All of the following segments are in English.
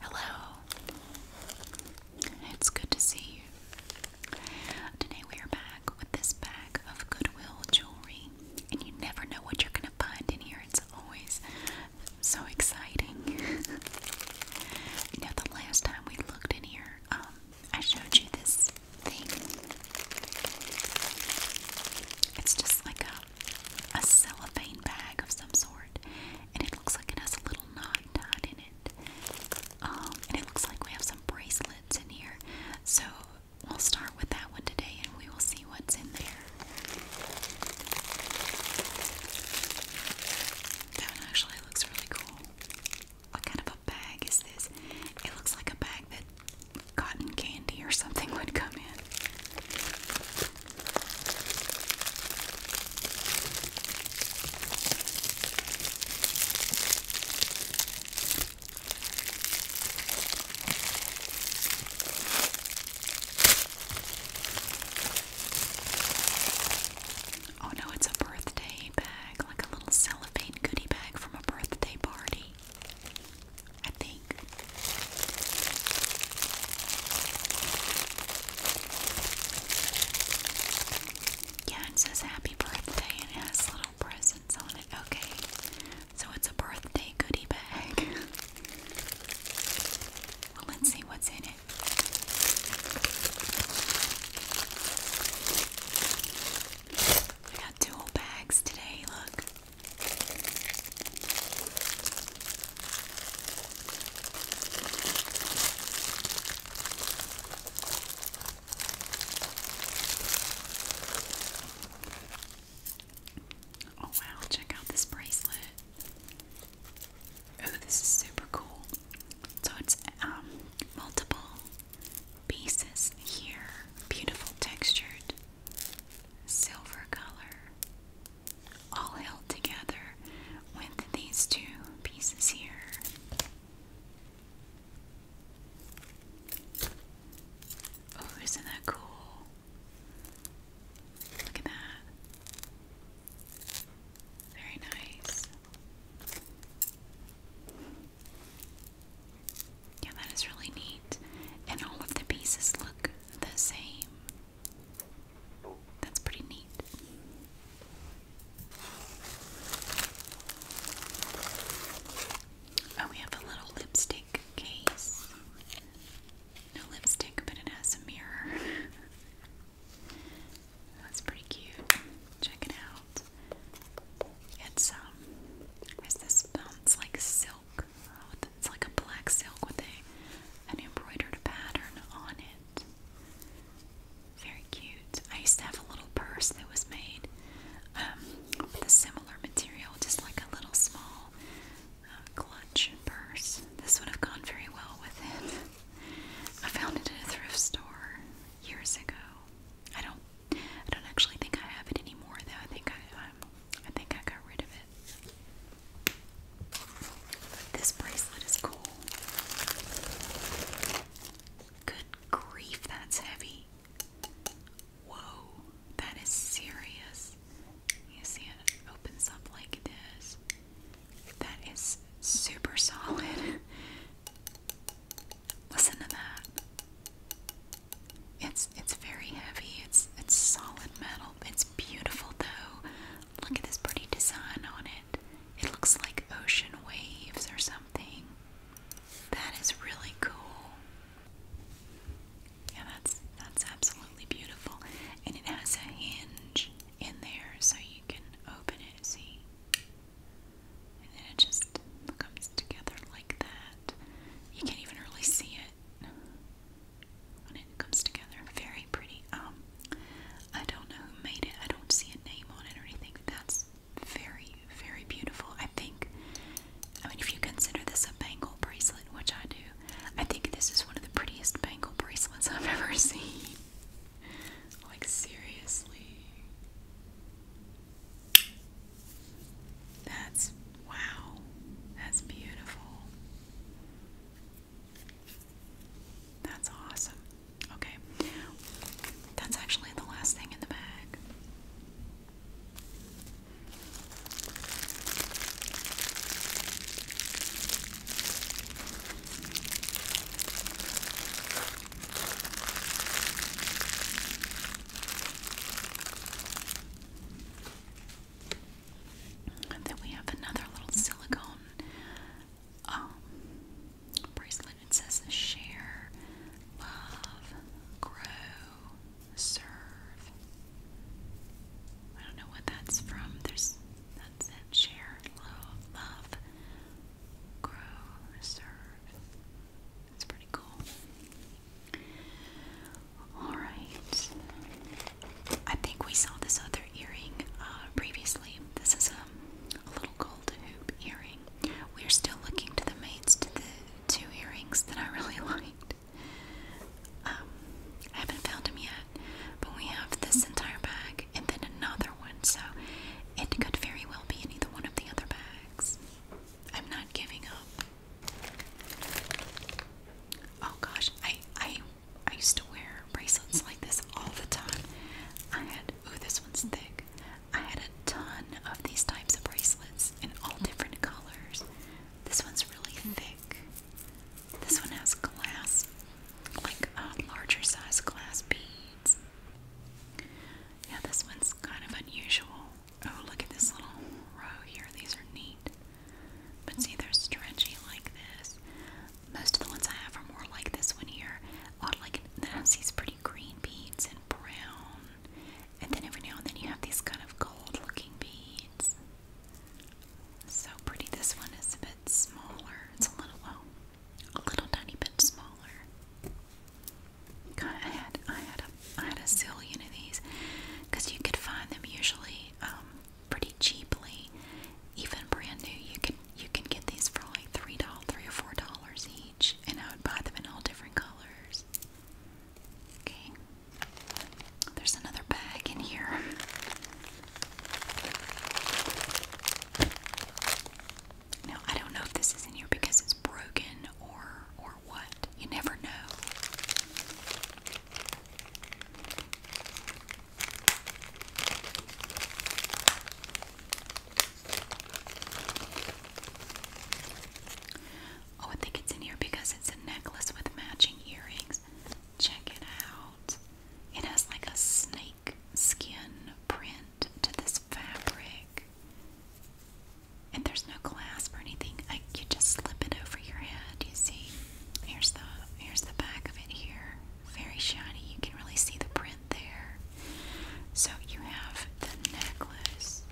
Hello. It's good to see you. Today we are back with this bag of Goodwill jewelry, and you never know what you're going to find in here. It's always so exciting. you the last time we looked in here, um, I showed you this it's just like a, a cellophane bag of some sort, and it looks like it has a little knot tied in it. Um, and it looks like we have some bracelets in here. So we'll start with that one today and we will see what's in there. That one actually looks really cool. What kind of a bag is this? It looks like a bag that cotton candy or something would come in. Oh no, it's a birthday bag, like a little cellophane goodie bag from a birthday party. I think. Yeah, it says happy birthday and has little presents on it. Okay, so it's a birthday goodie bag. well, let's see what's in it. I got dual bags today, look. Oh, wow, check out this bracelet. Oh, this is super cool. So it's um, multiple pieces here, beautiful textured silver color, all held together with these two pieces here. Oh, isn't that cool? Look at that. Very nice. Yeah, that is really neat. And all of the pieces look the same. That's pretty neat. Oh, we have a little lipstick case. No lipstick, but it has a mirror. That's pretty cute. Check it out. It's um, is this film? It's like silk. Oh, it's like a black silk with a an embroidered pattern on it. Very cute. I used to have a little purse that was made um, with a similar material, just like a little small uh, clutch purse. This would have gone very well with it. I found it at a thrift store years ago. I don't I don't actually think I have it anymore though. I think I um, I think I got rid of it. this bracelet is cool. Good grief, that's heavy. Whoa, that is serious. You see it opens up like this. That is super solid. Listen to that. It's it's very heavy. It's it's solid metal. It's beautiful though. Look at this pretty design on it. It looks like ocean waves or something. That is really cool. Yeah, that's that's absolutely beautiful. And it has a hinge in there so you can open it, see? And then it just comes together like that you can't even really see it when it comes together. Very pretty. Um, I don't know who made it. I don't see a name on it or anything. That's very, very beautiful. I think. I mean, if you consider this a bangle bracelet, which I do, I think this is one of the prettiest bangle bracelets I've ever seen. like seriously. That's wow. That's beautiful. That's awesome. Okay. That's actually the last thing in the bag. And then we have another little silicone um, bracelet. that says share, love, grow, serve. I don't know what that's from. that's it. Share, love, grow, serve. That's pretty cool. Alright. I think we saw this other earring uh, previously. This is a, little gold hoop earring. We're still looking to the mates to the two earrings that I really liked. Um, I haven't found them yet, but we have this entire bag and then another one, so it could very well be in either one of the other bags. I'm not giving up. Oh gosh, I I I used to wear bracelets like this all the time. I had oh this one's thick. I had a ton of these types of bracelets in all different colors. This one's really thick. This one has glass, like uh, larger size glass beads. Yeah, this one's kind of unusual. Oh, look at this little row here. These are neat. But see, they're stretchy like this. Most of the ones I have are more like this one here. Odd, like, then I have these pretty green beads and brown. And then every now and then you have these kind of gold looking beads. So pretty. This one is a bit smaller. It's a little, oh, a little tiny bit smaller. God, I had I had a I had a zillion of these because you could find them usually um, pretty cheaply, even brand new. You can you can get these for like three dollars, three or four dollars each, and I would buy them in all different colors. Okay, there's another bag in here. Now I don't know if this is in here because it's broken or or you never know. Oh, I think it's in here because it's a necklace with matching earrings. Check it out. It has like a snake skin print to this fabric. And there's no clasp or anything. I, you just slip it over your head. You see, here's the here's the back of it here. Very shiny. You can really see the print there. So you have the necklace,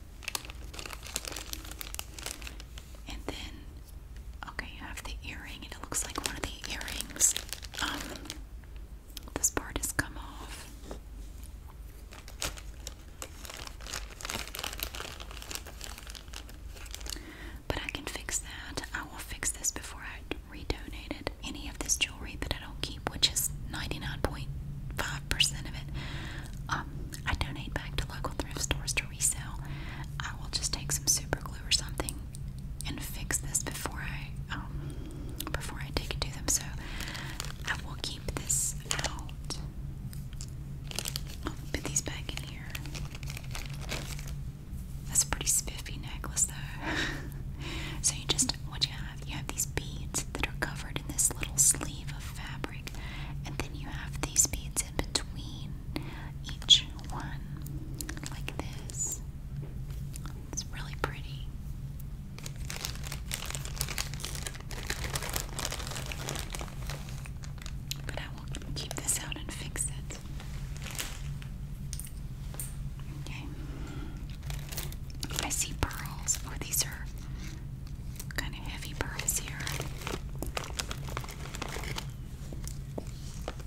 and then okay, you have the earring, and it looks like one of the earrings. Um, this part has come off. But I can fix that. I will fix this before I redonate it. Any of this jewelry that I don't keep, which is 99.5% of it, um, I donate back to local thrift stores to resell. I will just take some super glue or something and fix this before I um, before I take it to them. So I will keep this out put these back in here. That's a pretty spiffy necklace, though. so you just what you have? You have these beads that are covered in this little sleeve of fabric, and then you have these beads in between each one, like this. It's really pretty. But I will keep this out and fix it. Okay. I see pearls. Oh, these are kind of heavy pearls here.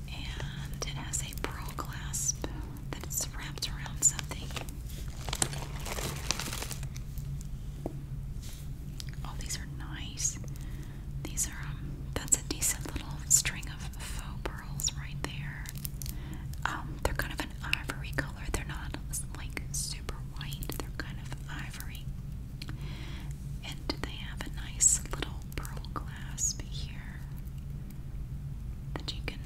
And it has a pearl clasp that's wrapped around something. Oh, these are nice. These are, um, that's a decent little string of faux pearls right there. Um, they're kind of an ivory color. They're not like super white, they're kind of ivory. And they have a nice little pearl clasp here that you can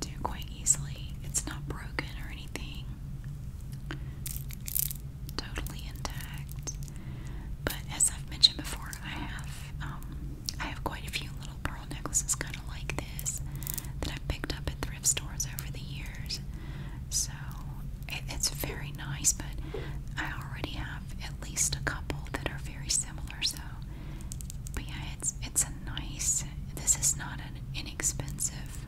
do quite easily. It's not broken or anything totally intact. But as I've mentioned before, I have um, I have quite a few little pearl necklaces, kind of like this, that I've picked up at thrift stores over the years. So it's very nice, but I already have at least a couple that are very similar. So, but yeah, it's it's a nice. This is not an inexpensive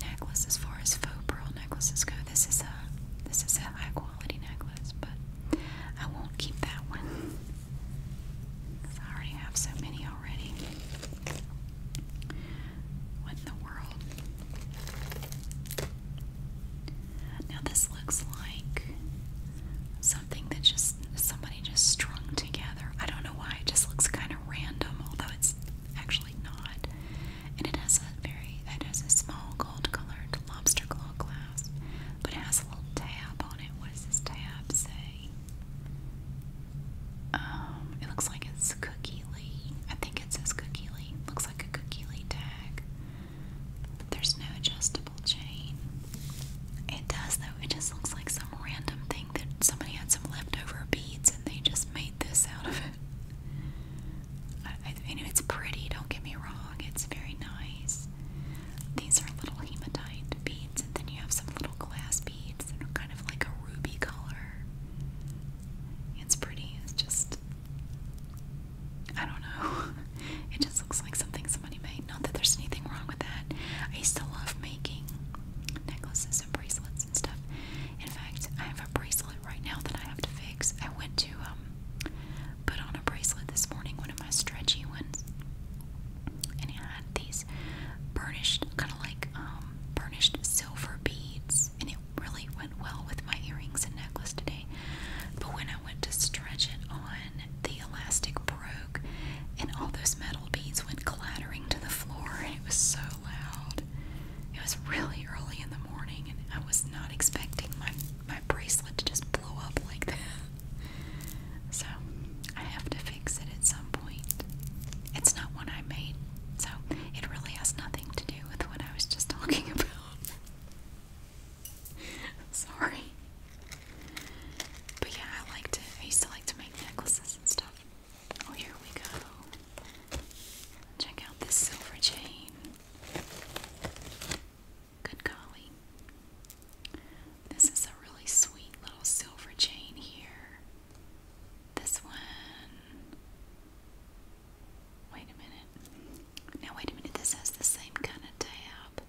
Necklaces, as far as faux pearl necklaces go. This is a this is a high quality necklace, but I won't keep that one because I already have so many already. What in the world? Now this looks like something that just somebody just strung together. I don't know why. It just looks kind of random, although it's actually not. And it has a very it has a small gold colored lobster claw clasp, but it has a little tab on it. What does this tab say? Um, it looks like it's cookie I think it says cookie Looks like a cookie lean tag. There's no adjustable chain. It does though. It just looks like some random thing that somebody had some leftover beads and they just made this out of it. I, mean, it's pretty, don't get me wrong, it's very nice. These are little hematite beads, and then you have some little glass beads kind of like a ruby color. It's pretty, it's just. I don't know. It just looks like something somebody made. Not that there's anything wrong with that. I used to love making necklaces bracelets and stuff. In fact, I have a bracelet right now that I have to fix. I went to um, put on a bracelet this morning, one of my stretchy ones, and it had these burnished, kind of like um, burnished silver beads, and it really went well with my earrings and necklace today. But when I went to stretch it on, the elastic broke, and all those metal beads went clattering to the floor. It was so loud. It was really early in the morning, and I was not expecting my my bracelet to just blow up like that. So I have to fix it at some point. It's not one I made, so it really has nothing to do with what I was just talking about. Sorry. But yeah, I like to I used to like to make necklaces and stuff. Oh, here we go. Check out this silver chain. Good golly. This is a really sweet little silver chain here. This one. Wait a minute. Now, wait a minute. This has the same kind of tab.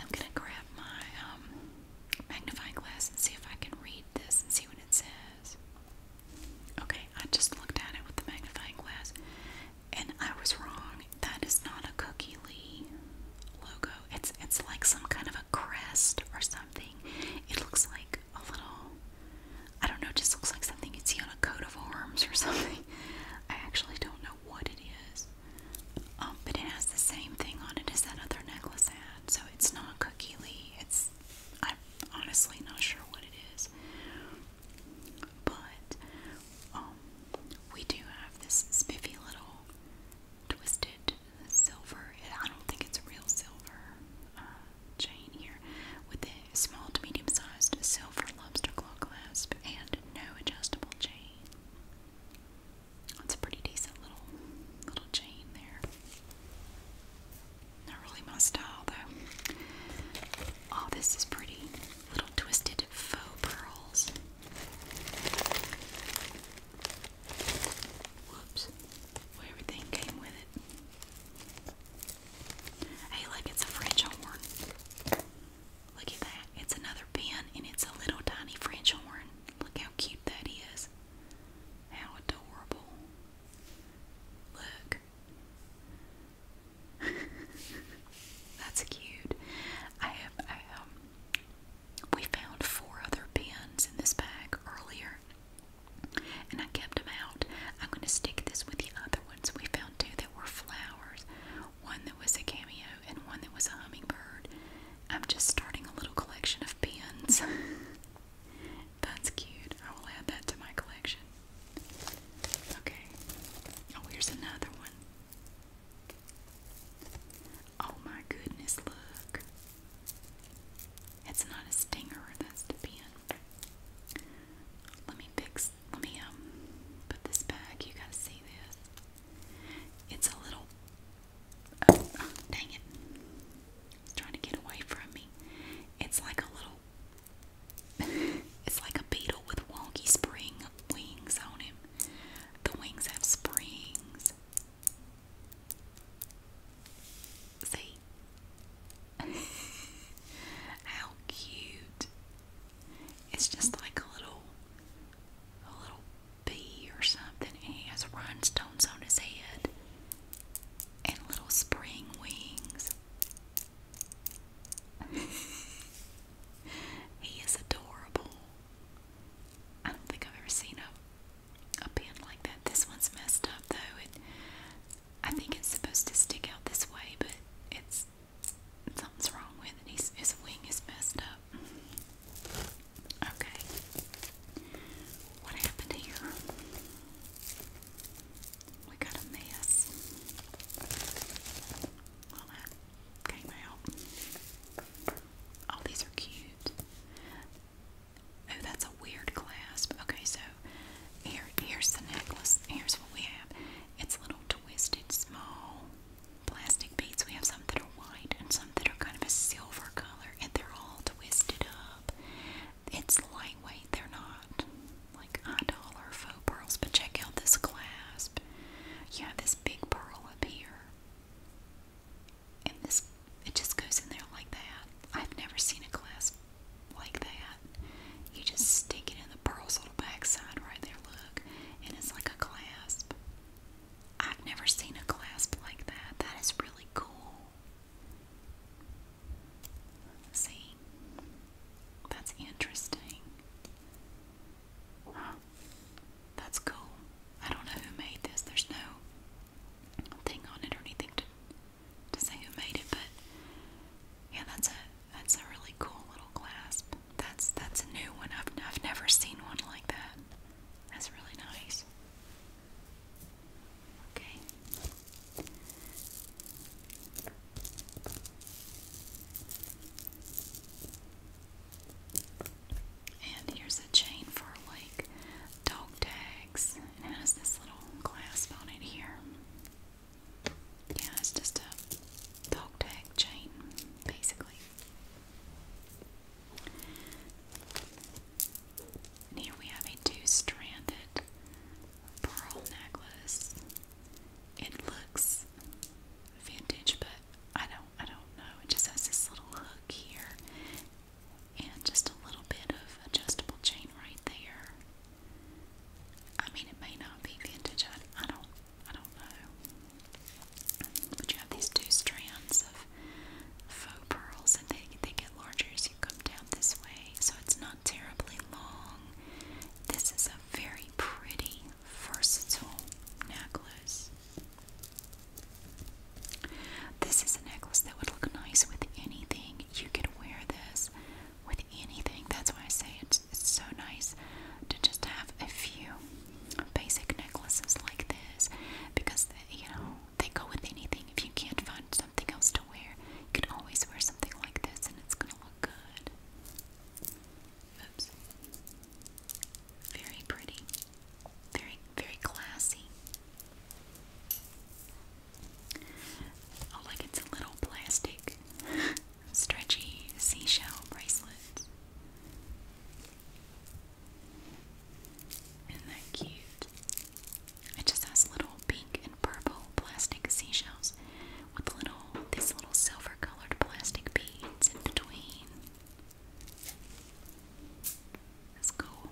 I'm going to grab my um, magnifying glass and see if I can read this and see what it says. Okay, I just looked at it with the magnifying glass and I was wrong. That is not a Cookie Lee logo. It's it's like some kind of a crest or something. It looks like a little I don't know, just looks like something you'd see on a coat of arms or something. I actually don't know what it is. Um, but it has the same thing on it as that other necklace so it's not cookie lee. It's I'm honestly not sure what it is. But um, we do have this spiffy little twisted silver. I don't think it's a real silver uh, chain here with a small to medium sized silver lobster claw clasp and no adjustable chain. That's a pretty decent little little chain there. Not really my style though. Oh, this is pretty. Little twisted faux pearls. Whoops. Well, everything came with it. Hey, look, it's a French horn. Look at that. It's another pin and it's a little tiny French horn. Look how cute that is. How adorable. Look. That's cute. I have I, um we found four other pins in this bag earlier. And I kept them out. I'm going to stick this with the other ones. We found two that were flowers, one that was a cameo, and one that was a hummingbird. I'm just starting a little collection of pins. That's cute. I will add that to my collection. Okay. Oh, here's another one. Oh my goodness, look. It's not a stinger, that's the pin. Let me fix, let me um, put this back. You got see this. It's a little Oh, oh, dang it. It's trying to get away from me. It's like a little. it's like a beetle with wonky spring wings on him. The wings have springs. See? How cute. It's just like a little a little bee or something and he has rhinestones on his head and little spring wings. he is adorable. I don't think I've ever seen a a pen like that. This one's messed up though. I think it's supposed to stick out this way, but it's something's wrong with it. He's, his wing is messed up. Okay. What happened here? We got a mess. Well, that came out. Oh, these are cute. Oh, that's a weird clasp. Okay, so here, here's the necklace. Here's what we have. It's little twisted, small plastic beads. We have some that are white and some that are kind of a silver color, and they're all twisted up. It's lightweight, they're not like eye dollar faux pearls, but check out this clasp. You have this big pearl up here, and this it just goes in there like that. I've never seen a clasp like that. You just stick it in the pearl's little backside right there, look, and it's like a clasp. I've never seen a clasp like that. That is really cool. See? That's interesting. That's cool. I don't know who made this. There's no thing on it or anything to say who made it, but yeah, that's a that's a really cool little clasp. That's that's a new one. I've I've never seen one like that. That's really nice. Okay. And here's a chain for like dog tags. it has this little clasp on it here. Yeah, it's just a dog tag chain, basically here we have a two-stranded pearl necklace. It looks vintage, but I don't I don't know. It just has this little hook here and just a little bit of adjustable chain right there. I mean it may not be vintage, I, I don't I don't know. But you have these two strands of faux pearls and they, they get larger as you come down this way. So it's not terribly long. This is a very pretty, versatile necklace. This is a necklace that would look nice with anything. You could wear this with anything. That's why I say it's, it's so nice to just have a few basic necklaces like this because, you know, they go with anything. If you can't find something else to wear, you can always wear something like this and it's gonna look good. Oops. Very pretty. Very, very classy. Oh, like it's a little plastic, stretchy seashell bracelet. Isn't that cute? It just has little pink and purple plastic seashells with little these little silver colored plastic beads in between. That's cool.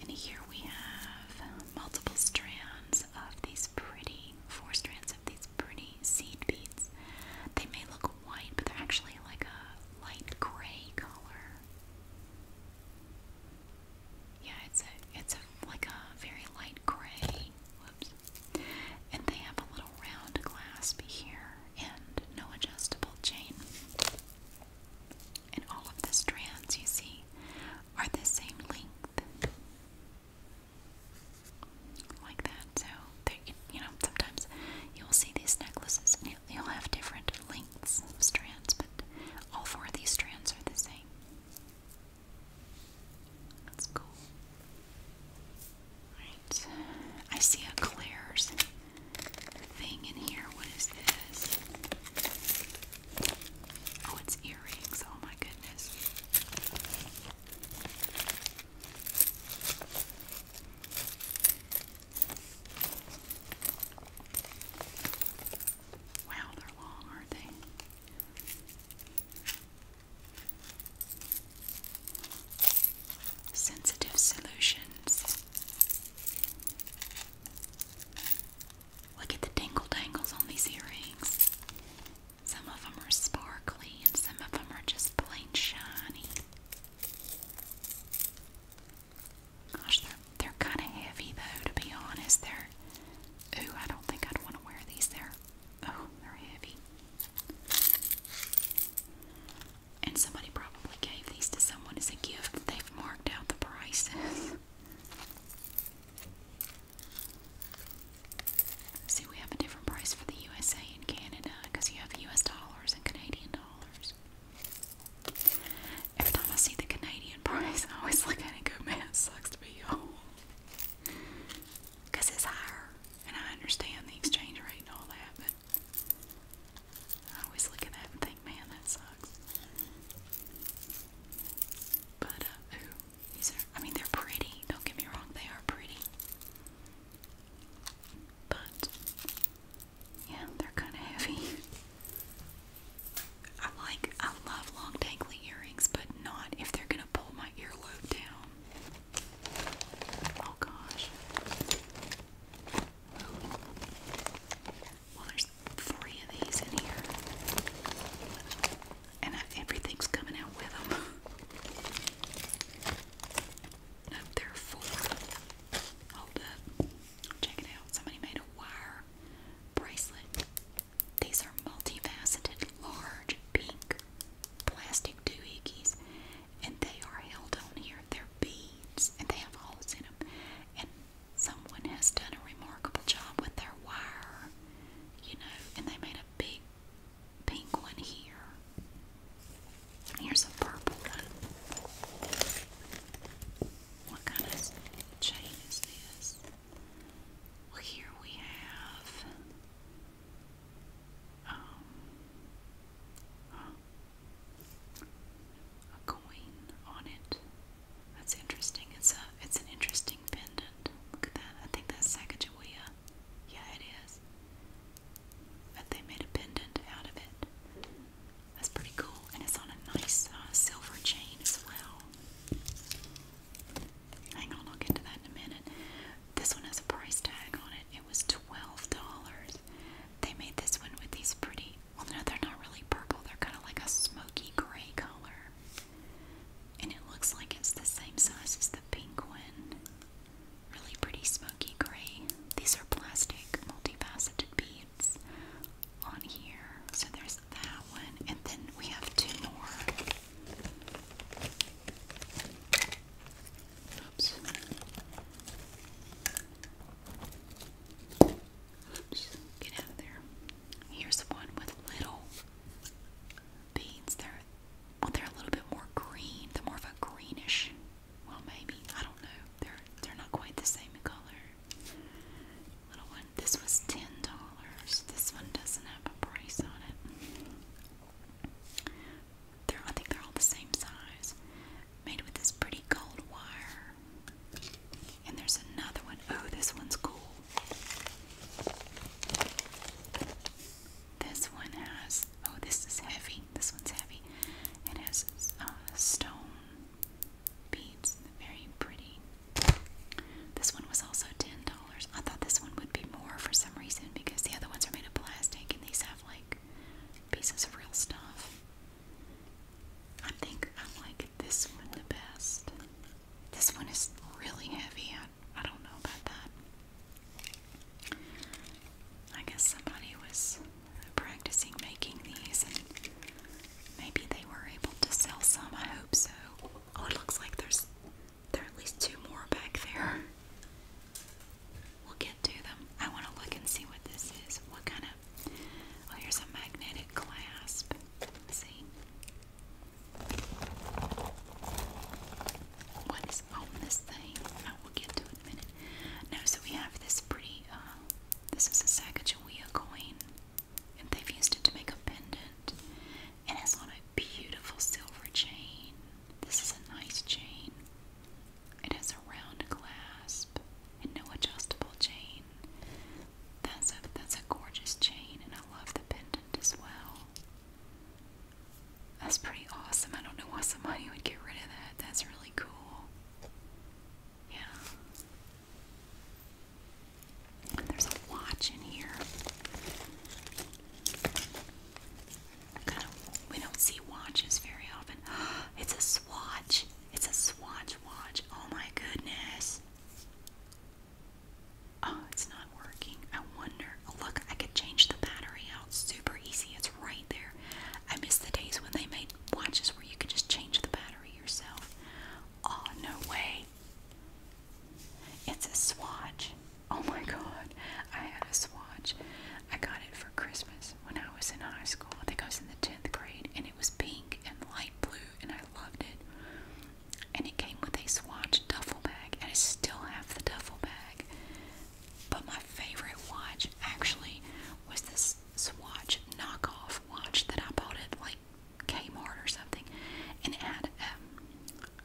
And here we have multiple strands of these pretty four strands of these pretty seed beads. They may look white, but they're actually like a light gray color. Yeah, it's a it's a like a very light gray. Whoops. And they have a little round clasp here and no adjustable chain. And all of the strands you see are the same length. Like that. So, you know, sometimes you'll see these necklaces and they, all have different lengths of strands, but all four of these strands are the same. That's cool. Alright, I see a Claire's thing in here. What is this? Oh, it's earrings. Oh my goodness. Wow, they're long, are they? Sensitive Solutions. Look at the dingle dangles on these earrings. Some of them are sparkly and some of them are just plain shiny. Gosh, they're they're kind of heavy though. To be honest, they're. Ooh, I don't think I'd want to wear these. They're. Oh, they're heavy. And somebody probably gave these to someone as a gift. They've marked out the prices. See, we have a different price for the USA and Canada because you have US dollars and Canadian dollars. Every time I see the Canadian price, I always look at it go, man, it sucks to be you Because it's higher, and I understand the exchange rate and all that, but I always look at that and think, man, that sucks. But, uh, these are, I mean, they're pretty, don't get me wrong, they are pretty. But yeah, they're kind of heavy. I like, I love long dangly earrings, but not if they're gonna pull my earlobe down. Oh gosh. Well, there's three of these in here, and everything's coming out with them. No, there are four. Hold up. Check it out. Somebody made a wire bracelet. These are multifaceted, large, pink plastic doohickeys, and they are held on here. They're beads, and they have holes in them. And someone has done a remarkable job with their wire, you know, and they made a big pink one here. Here's a purple one. What kind of chain is this? Well, here we have. Um, a coin on it. That's interesting. It's a it's an interesting pendant. Look at that. I think that's Sacagawea. Yeah, it is. But they made a pendant out of it. That's pretty cool, and it's on a nice uh, silver chain as well. Hang on, I'll get to that in a minute. This one has a price tag on it. It was twelve dollars. They made this one with these pretty. Well, no, they're not really purple. They're kind of like a smoky gray color, and it looks like it's the same size as the pink one. Really pretty smoky gray. These are plastic multifaceted beads on here. So there's that one, and then we have two more. Oops. Oops. Get out of there. Here's one with little beads. They're they're a little bit more green. They're more of a greenish. Well, maybe I don't know. They're they're not quite the same color. Little one. This was $10. This one doesn't have a price on it. They're, I think they're all the same size. Made with this pretty gold wire. And there's another one. Oh, this one's cool. This one has, oh, this is heavy. This one's heavy. It has uh, stone beads. Very pretty. This one was also ten dollars. I thought this one would be more for some reason because the other ones are made of plastic and these have like pieces of real stuff. I think I am like this one the best. This one is really heavy. I, I don't know about that. I guess somebody was practicing making these, and maybe they were able to sell some. I hope so. Oh, it looks like there's there are at least two more back there. We'll get to them. I want to look and see what this is. What kind of? Oh, here's a magnetic clasp. Let's see. What is on this thing? I oh, will get to it in a minute. No, so we have this pretty uh, this is a Sacagawea coin, and they've used it to make a pendant. It has on a beautiful silver chain. This is a nice chain. It has a round clasp and no adjustable chain. That's a that's a gorgeous chain, and I love the pendant as well. That's pretty awesome. I don't know why somebody would get rid of that. That's really cool. Yeah there's a watch in here. Kind of, we don't see watches very often. It's a swatch. It's a swatch watch. Oh my goodness. Oh, it's not working. I wonder. Oh, look, I could change the battery out. Super easy. It's right there. I miss the days when they made watches where you can just change the battery yourself. Oh, no way. It's a swatch. Oh my god. I had a swatch. I got it for Christmas when I was in high school. I think I was in the 10th grade and it was pink and light blue and I loved it. And it came with a swatch duffel bag and I still have the duffel bag. But my favorite watch actually was this swatch knockoff watch that I bought at like Kmart or something, and it had um,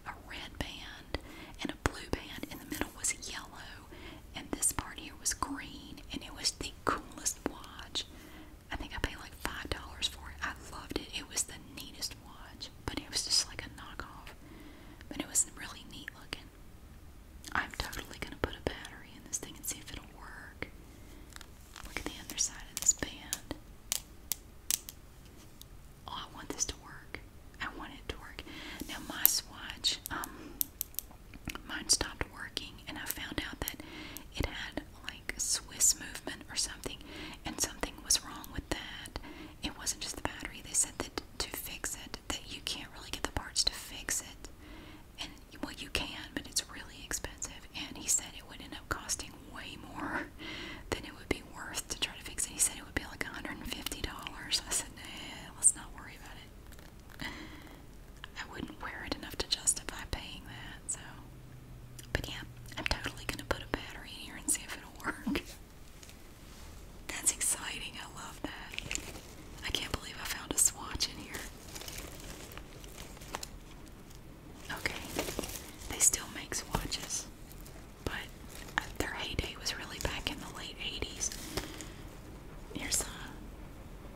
a red band and a blue band. In the middle was yellow, and this part here was green, and it was the coolest watch. I think I paid like five dollars for it. I loved it. It was the neatest watch, but it was just like a knockoff. But it was really neat looking. I'm totally gonna put a battery in this thing and see if it'll work. Look at the underside of this band. Oh, I want this to work. I want it to work. Now my swatch, um, mine stopped working, and I found out that it had like Swiss movement or something, and something was wrong with that. It wasn't just the battery. They said that to fix it, that you can't really get the parts to fix it, and well, you can, but it's really expensive. And he said it would end up costing way more than it would be worth to try to fix it. He said it would be like $150. I said, nah, let's not worry about it. I wouldn't wear it enough to justify paying that, so. But yeah, I'm totally gonna put a battery in here and see if it'll work. That's exciting, I love that. I can't believe I found a swatch in here. Okay, they still make swatches, but uh, their heyday was really back in the late 80s. Here's the. Uh,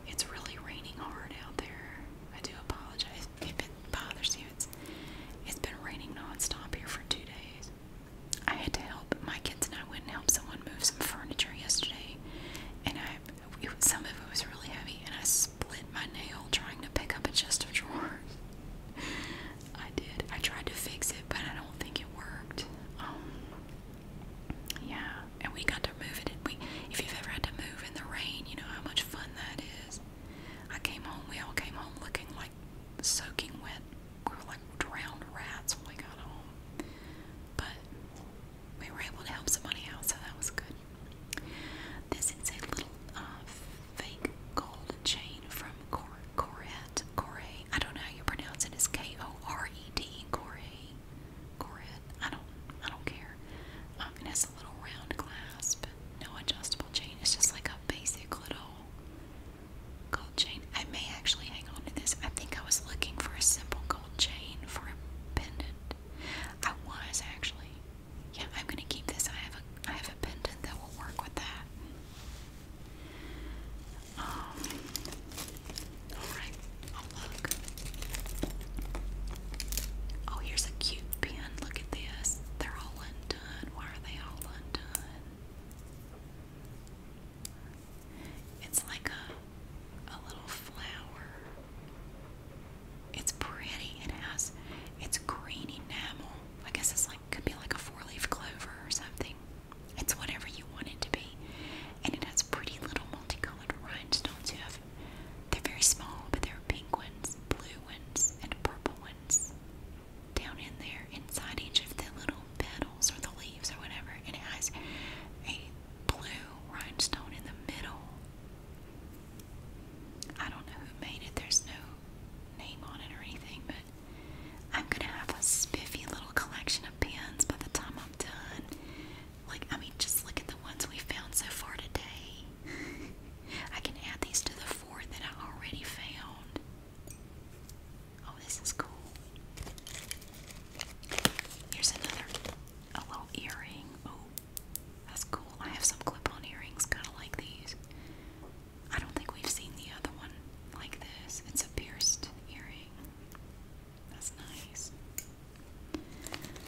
it's really raining hard out there. I do apologize if it bothers you. It's it's been raining nonstop here for two days. I had to help my kids and I went and help someone move some furniture yesterday, and I some of it was really heavy, and I split my nail trying to pick up a chest of drawers. I did. I tried to fix it, but I don't think it worked. Um, yeah, and we got to move it. We, if you've ever had to move in the rain, you know how much fun that is. I came home. We all came home looking like soaking wet. We were like drowned rats when we got home. But we were able to help somebody out, so that was good. This is a little uh, fake gold chain from Cor Corette. Corette. I don't know how you pronounce it. It's K O R E D. Corette. Corette. I don't. I don't care. Um, it has a little round clasp, no adjustable chain. It's just like a basic little gold chain. I may actually hang on to this. I think I was looking for a simple gold chain for a pendant. I was actually. Yeah, I'm gonna keep this. I have a I have a pendant that will work with that. Um alright, oh look. Oh here's a cute pin. Look at this. They're all undone. Why are they all undone? It's like a a little flower. It's pretty. It has it's green enamel. I guess it's like could be like a four-leaf clover or something. It's whatever you want it to be. And it has pretty little multicolored rhinestones. have they're very small, but they are pink ones, blue ones, and purple ones down in there inside each of the little petals or the leaves or whatever. it has a blue rhinestone in the middle I don't know who made it. There's no name on it or anything, but I'm gonna have a spiffy little collection of pins by the time I'm done. Like, I mean, just look at the ones we found so far today. I can add these to the four that I already found. Oh, this is cool. Here's another a little earring. Oh, that's cool. I have some clip-on earrings kind of like these. I don't think we've seen the other one like this. It's a pierced earring. That's nice.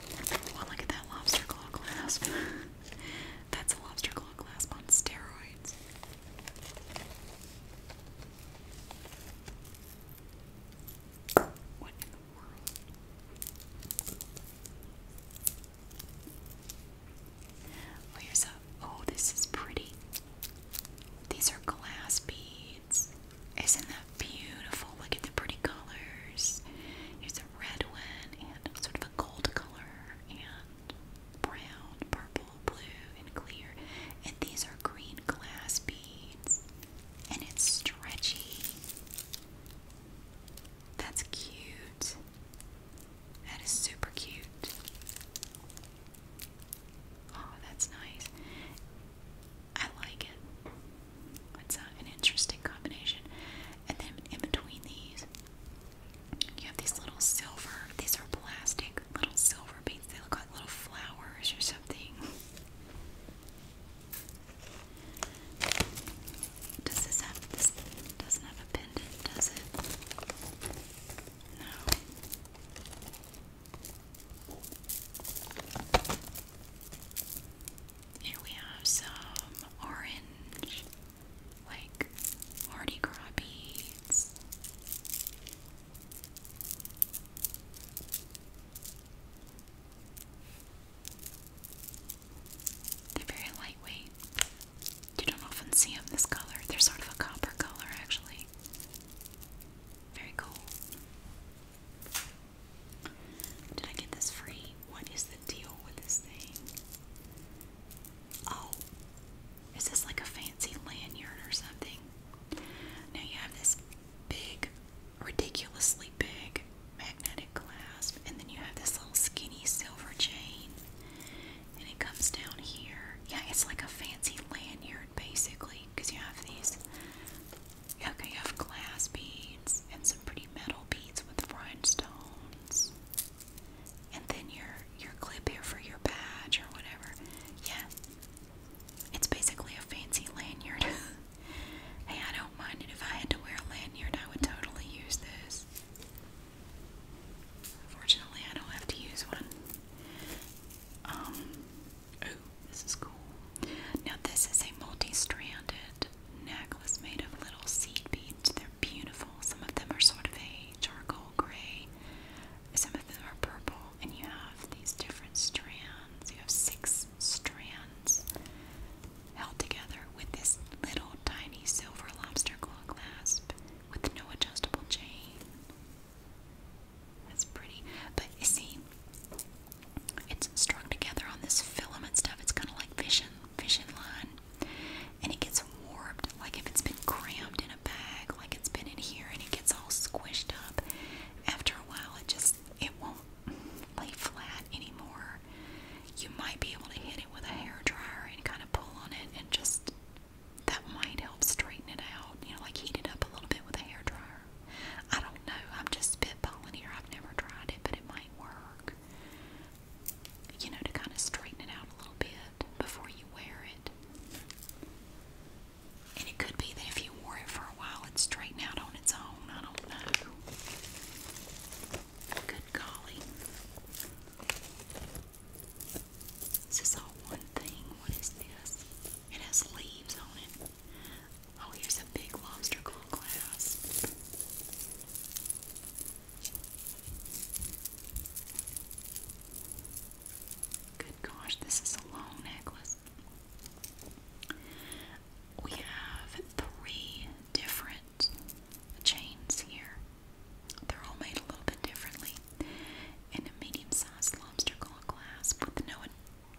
Well, oh, look at that lobster claw clasp. That's a lobster claw clasp on steroids. What here's a. Oh, this is pretty. These are glass beads. Isn't that beautiful? Look at the pretty colors. Here's a red one and sort of a gold color and brown, purple, blue, and clear. And these are green glass beads and it's stretchy. That's cute. That is super cute. Oh, that's nice. I like it. It's an interesting combination. And then in between these, you have these little silver, these are plastic little silver beads. They look like little flowers or something. Does this have this doesn't have a pendant, does it? No. Here we have some orange, like Mardi Gras they're very lightweight. You don't often see them this color. They're sort of a copper color, actually. Very cool. Did I get this free? What is the deal with this thing? Oh, is this like a fancy lanyard or something? Now you have this big ridiculously big magnetic clasp, and then you have this little skinny silver chain, and it comes down here. Yeah, it's like a fancy lanyard basically, because you have these. Okay, you have glass beads and some pretty metal beads with rhinestones, and then your your clip here for your badge or whatever. Yeah, it's basically a fancy lanyard. Hey, I don't mind it. If I had to wear a lanyard, I would totally use this. Fortunately, I don't have to use one. Um, this is cool. Now, this is a multi-stranded necklace made of little seed beads. They're beautiful. Some of them are sort of a charcoal gray. Some of them are purple, and you have these different strands. You have six strands held together with this little tiny silver lobster claw clasp with no adjustable chain. That's pretty. But you see, it's strung together on this filament stuff. It's kind of like fishing, fishing line. And it gets warped, like if it's been crammed in a bag, like it's been in here, and it gets all squished up. After a while, it just, it won't lay flat anymore. You might be able to hit it with a hair dryer and kind of pull on it, and just that might help straighten it out. You know, like heat it up a little bit with a hair dryer. I don't know. I'm just spitballing here. I've never tried it, but it might work. You know, to kind of straighten it out a little bit before you wear it. And it could be that if you wear it for a while, it'd straighten out on Good golly. Is all one thing? What is this? It has leaves on it. Oh, here's a big lobster claw glass. Good gosh, this is a long necklace. We have three different chains here. They're all made a little bit differently. And a medium-sized lobster claw clasp with no,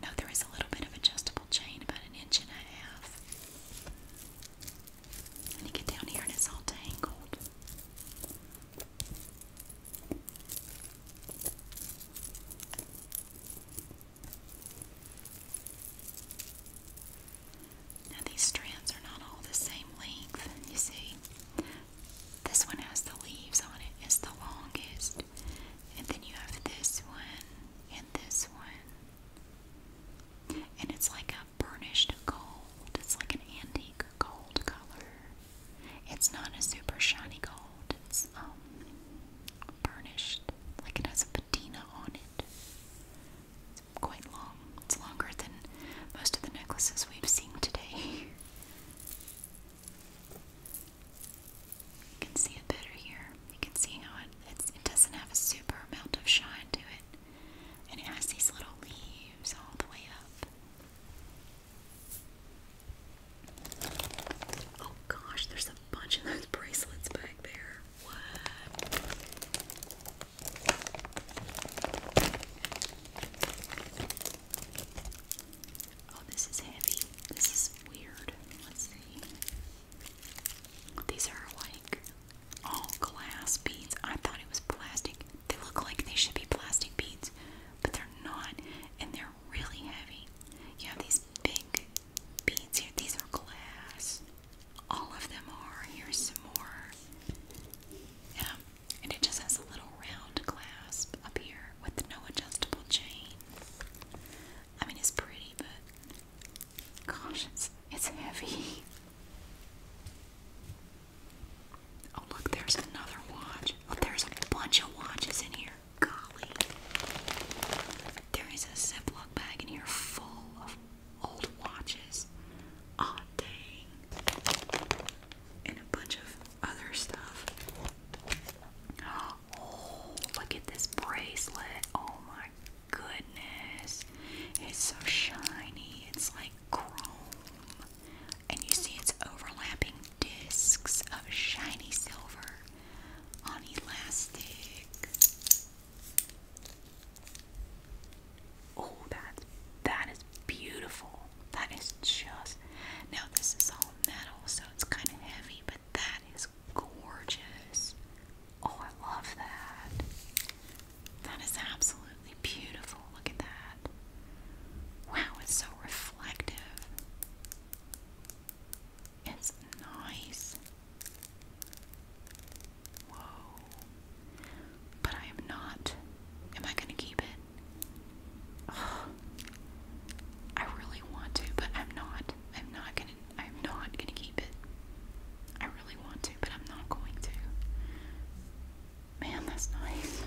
no, there is a little bit of adjustable chain, about an inch and a half. And you get down here and it's all tangled. Now these strands are not all the same length, you see. This one has the leaves on it's the longest. And then you have this one and this one. And it's like a burnished gold. It's like an antique gold color. It's not a super shiny gold. It's um burnished. Like it has a patina on it. It's quite long. It's longer than most of the necklaces we've seen today. You can see it better here. You can see how it doesn't have a super amount of shine to it, and it has these little leaves all the way up. Oh gosh, there's a bunch of those bracelets back there. Oh, this is heavy. This is weird. Let's see. These are like all glass beads. I thought it was plastic. They look like they should be plastic beads, but they're not, and they're really heavy. You have these big beads here. These are glass. All of them are. Here's some more. Um, and it just has a little round clasp up here with no adjustable chain. I mean, it's pretty, but gosh, it's, it's heavy. Oh, look, there's another watch. Oh, there's a bunch of watches in here. Golly. There is a Ziploc bag in here full of old watches. Aw, dang. And a bunch of other stuff. Oh, look at this bracelet. Oh my goodness. It's so shiny. It's like chrome. And you see it's overlapping discs of shiny silver on elastic. Oh, that that is beautiful. That is just now. This is all metal, so it's kind of heavy, but that is gorgeous. Oh, I love that. That is absolutely beautiful. Look at that. Wow, it's so reflective. It's nice. Whoa. But I am not. Am I going to keep it? I really want to, but I'm not. I'm not going to. I'm not going to keep it. I really want to, but I'm not going to. Man, that's nice.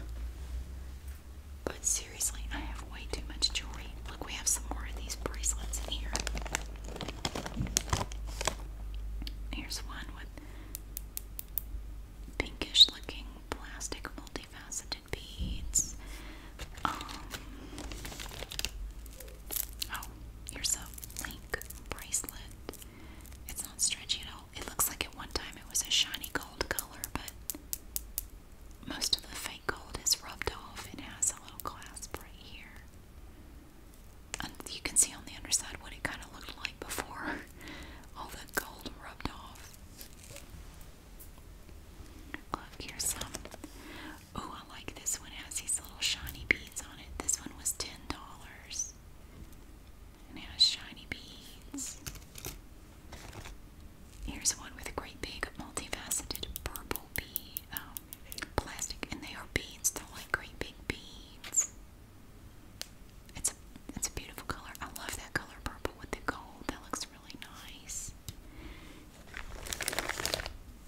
But seriously, I have way too much jewelry. Look, we have some more of these bracelets in here. Here's one with pinkish looking plastic multifaceted beads. Um, oh, here's a link bracelet. It's not stretchy at all. It looks like at one time it was a shiny gold color, but most of the fake gold is rubbed off. It has a little clasp right here. And you can see on the underside what it kind of looked like before all the gold rubbed off. Look, here's some. Oh, I like this one. It has these little shiny beads on it. This one was ten dollars. it has shiny beads. Here's one with a great big multifaceted purple bee plastic, and they are beans. They're like great big beans. It's a it's a beautiful color. I love that color purple with the gold. That looks really nice.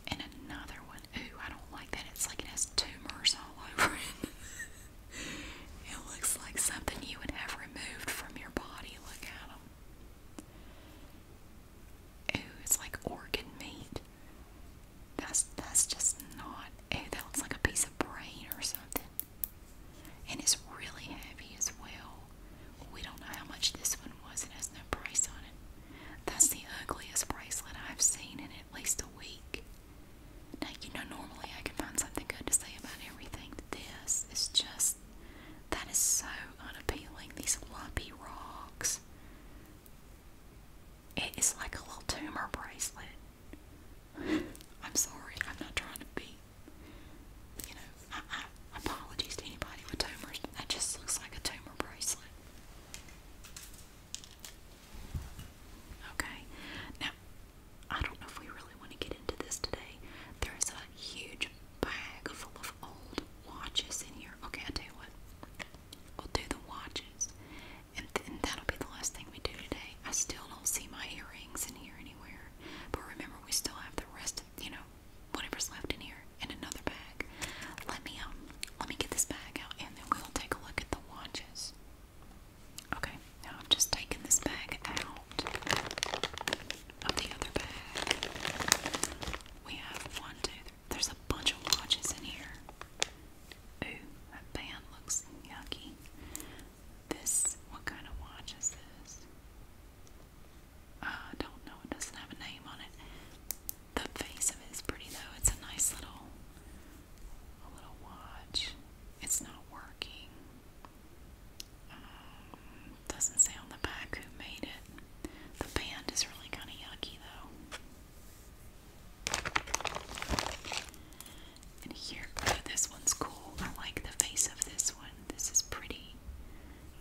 And another one. Ooh, I don't like that. It's like it has tumors all over it. it looks like something you would have removed from your body. Look at them. Ooh, it's like organ meat. That's that's just not. Oh, that looks like a piece of brain or something. And it's really heavy as well. We don't know how much this one was. It has no price on it. That's the ugliest bracelet I've seen in at least a week. Now you know normally I can find something good to say about everything. This is just that is so unappealing. These lumpy rocks. It is like a little tumor bracelet. I'm sorry, I'm not trying to be, you know, apologies to anybody with tumors, that just looks like a tumor bracelet. Okay, now, I don't know if we really want to get into this today. There's a huge bag full of old watches in here. Okay, I tell you what, We'll do the watches. And, th that'll be the last thing we do today. I still don't see my earrings in here anywhere. But remember, we still have the rest of, you know, whatever's left in here in another bag. Let me, um, let me get this bag out and then we'll take a look at the watches. Okay, now I'm just taking this bag out of the other bag. We have one, there's a bunch of watches in here. Ooh, that band looks yucky. This, what kind of watch is this? Uh, I don't know, it doesn't have a name on it. The face of it is pretty though. It's a nice little a little watch. It's not working. Um, doesn't say on the back who made it. The band is really kind of yucky though. And here, oh, this one's cool. I like the face of this one. This is pretty.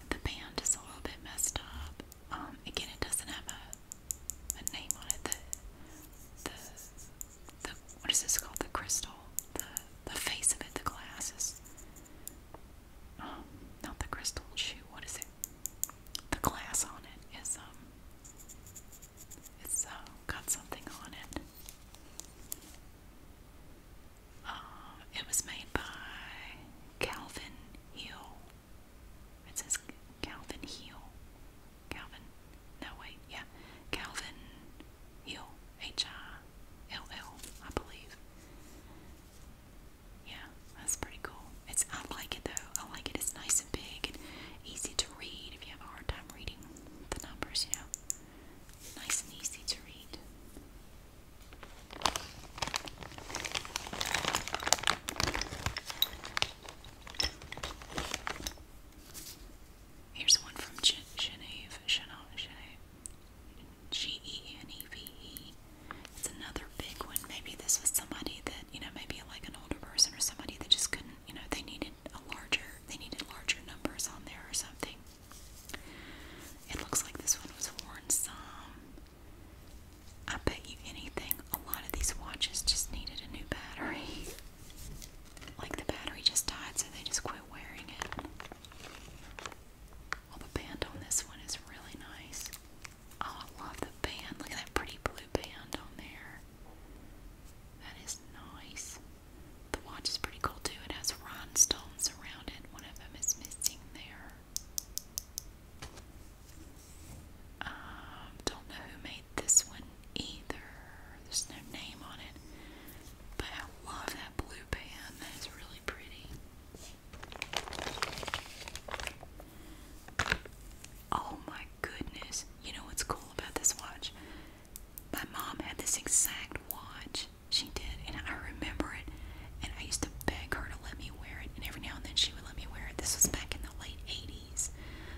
The band is a little bit messed up. Um, again, it doesn't have a, a name on it. The, the, what is this called? The crystal. The, the face of it, the glass um, not the crystal. Shoot, what is it? the glass on it is um it's uh, got something on it. Uh, it was made by Calvin Hill. It says Calvin Hill. Calvin. No wait, yeah, Calvin Hill. H I L L, I believe. Yeah, that's pretty cool. It's I like it though. I like it. It's nice and big and easy to read if you have a hard time reading the numbers, you know. Nice and easy to read. Here's one from Geneve. Geneve. G E N E V E. It's another big one. Maybe this was somebody that, you know, maybe like an older person or somebody that just couldn't, you know, they needed a larger, they needed larger numbers on there or something. It looks like this one was worn some. I bet you anything, a lot of these watches just needed a new battery. Like the battery just died, so they just quit wearing it. Well, the band on this one is really nice. Oh, I love the band. Look at that pretty blue band on there. That is nice. The watch is pretty cool too. It has rhinestones around it. One of them is missing there. Um, don't know who made this one either. There's no name on it. But I love that blue band. That is really pretty. Oh my goodness. You know what's cool about this watch? My mom had this exact watch. She did, and I remember it. And I used to beg her to let me wear it, and every now and then she would let me wear it. This was back in the late 80s.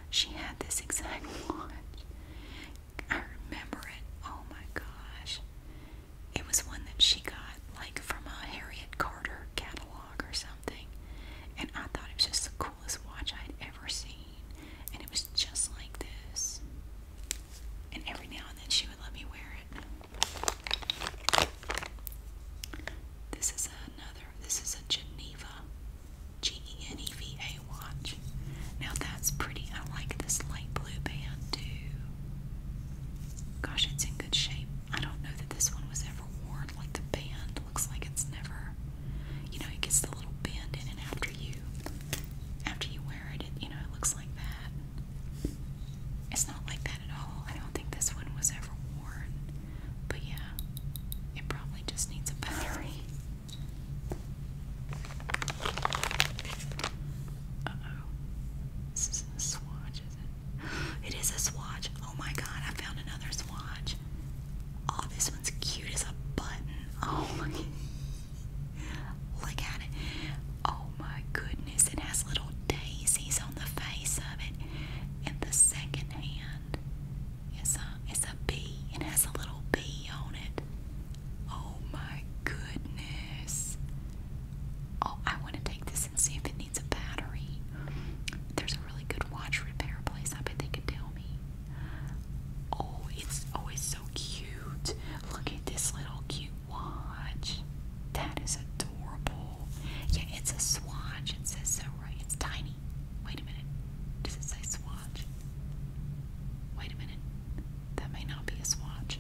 She had this exact watch. I remember it. Oh my gosh. It was one that she got, like, from a Harriet Carter catalog or something something, and I thought it was just the coolest watch I had ever seen, and it was just like this. And every now and then she would let me wear it. This is another. This is a Geneva, G-E-N-E-V-A watch. Now that's pretty. I like this light blue band too. Gosh, it's in good shape. I don't know that this one was ever never worn. Like the band looks like it's never, you know, it gets the little bend in and after you, after you wear it, it, you know, it looks like that. It's not like that at all. I don't think this one was ever worn, but yeah, it probably just needs a battery. Uh oh, this isn't a swatch, is it? It is a swatch. Oh my god, I found another swatch. Oh, this one's cute as a button. Oh my Look at it. Oh my goodness, it has little daisies on the face of it. And the second hand is a is a bee. It has a little bee on it. Oh my goodness. Oh, I want to take this and see if it needs a battery. There's a really good watch repair place. I bet they can tell me. Oh, it's always so cute. Look at this little cute watch. That is adorable. Yeah, it's a swatch. It says so right. It's tiny. Wait a minute. Does it say swatch? Wait a minute. That may not be a swatch.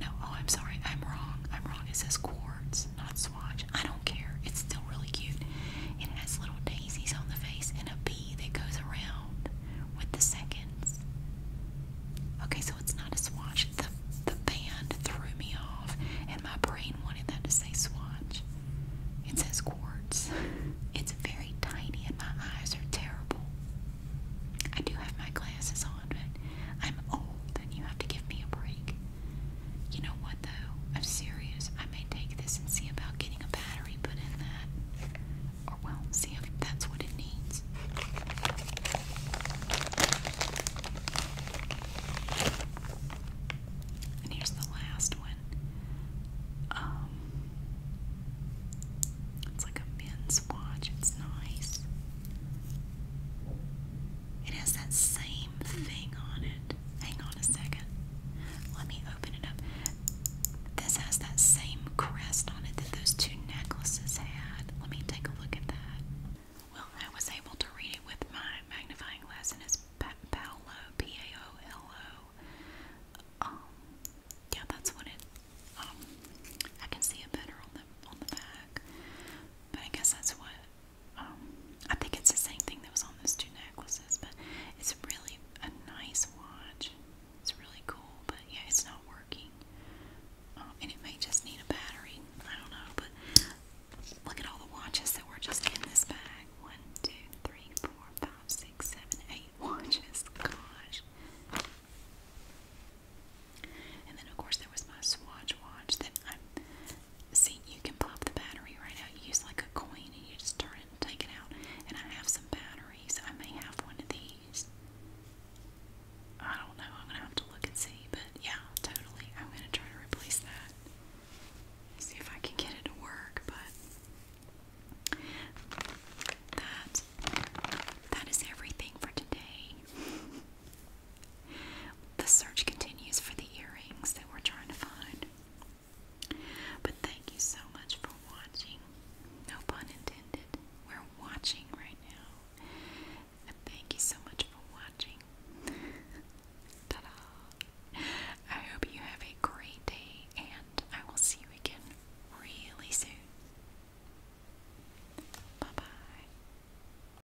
No, oh, I'm sorry. I'm wrong. I'm wrong. It says quartz not swatch. I don't care. It's still really cute. It has little daisies on the face and a bee that goes around with the seconds. Okay, so it's not a swatch. The, the band threw me off, and my brain wanted that to say swatch. It says quartz. It's very tiny, and my eyes are terrible. I do have my glasses on, but I'm old, and you have to give me a break. You know what though? I'm serious. I may take this and see about getting a battery put in that. Or well, see if that's what it needs. And here's the last one. Um it's like a men's watch. It's nice. It has that same thing on it. Hang on a second. Let me open it up. This has that same crest on it that those two necklaces had. Let me take a look at that. Well, I was able to read it with my magnifying glass, and it's pa Paolo, P A O L O. Um, yeah, that's what it. Um, I can see it better on the on the back, but I guess that's what um, I think it's the same thing that was on those two necklaces, but it's really a nice watch. It's really cool, but yeah, it's not working. Um, and it may just need a battery. I don't know, but look at all the watches that were just in this bag. One, two, three, four, five, six, seven, eight watches. Gosh. And then, of course, there was my Swatch watch that I See, you can pop the battery right out. You use like a coin and you just turn and take it out. And I have some batteries. I may have one of these. I don't know. I'm gonna have to look and see. But yeah, totally. I'm gonna try to replace that. See if I can get it to work. But that that is everything for today. The search continues for the earrings that we're trying to find. But thank you so much for watching. No pun intended. We're watching right now. And thank you so much for watching. Ta I hope you have a great day, and I will see you again really soon. Bye bye.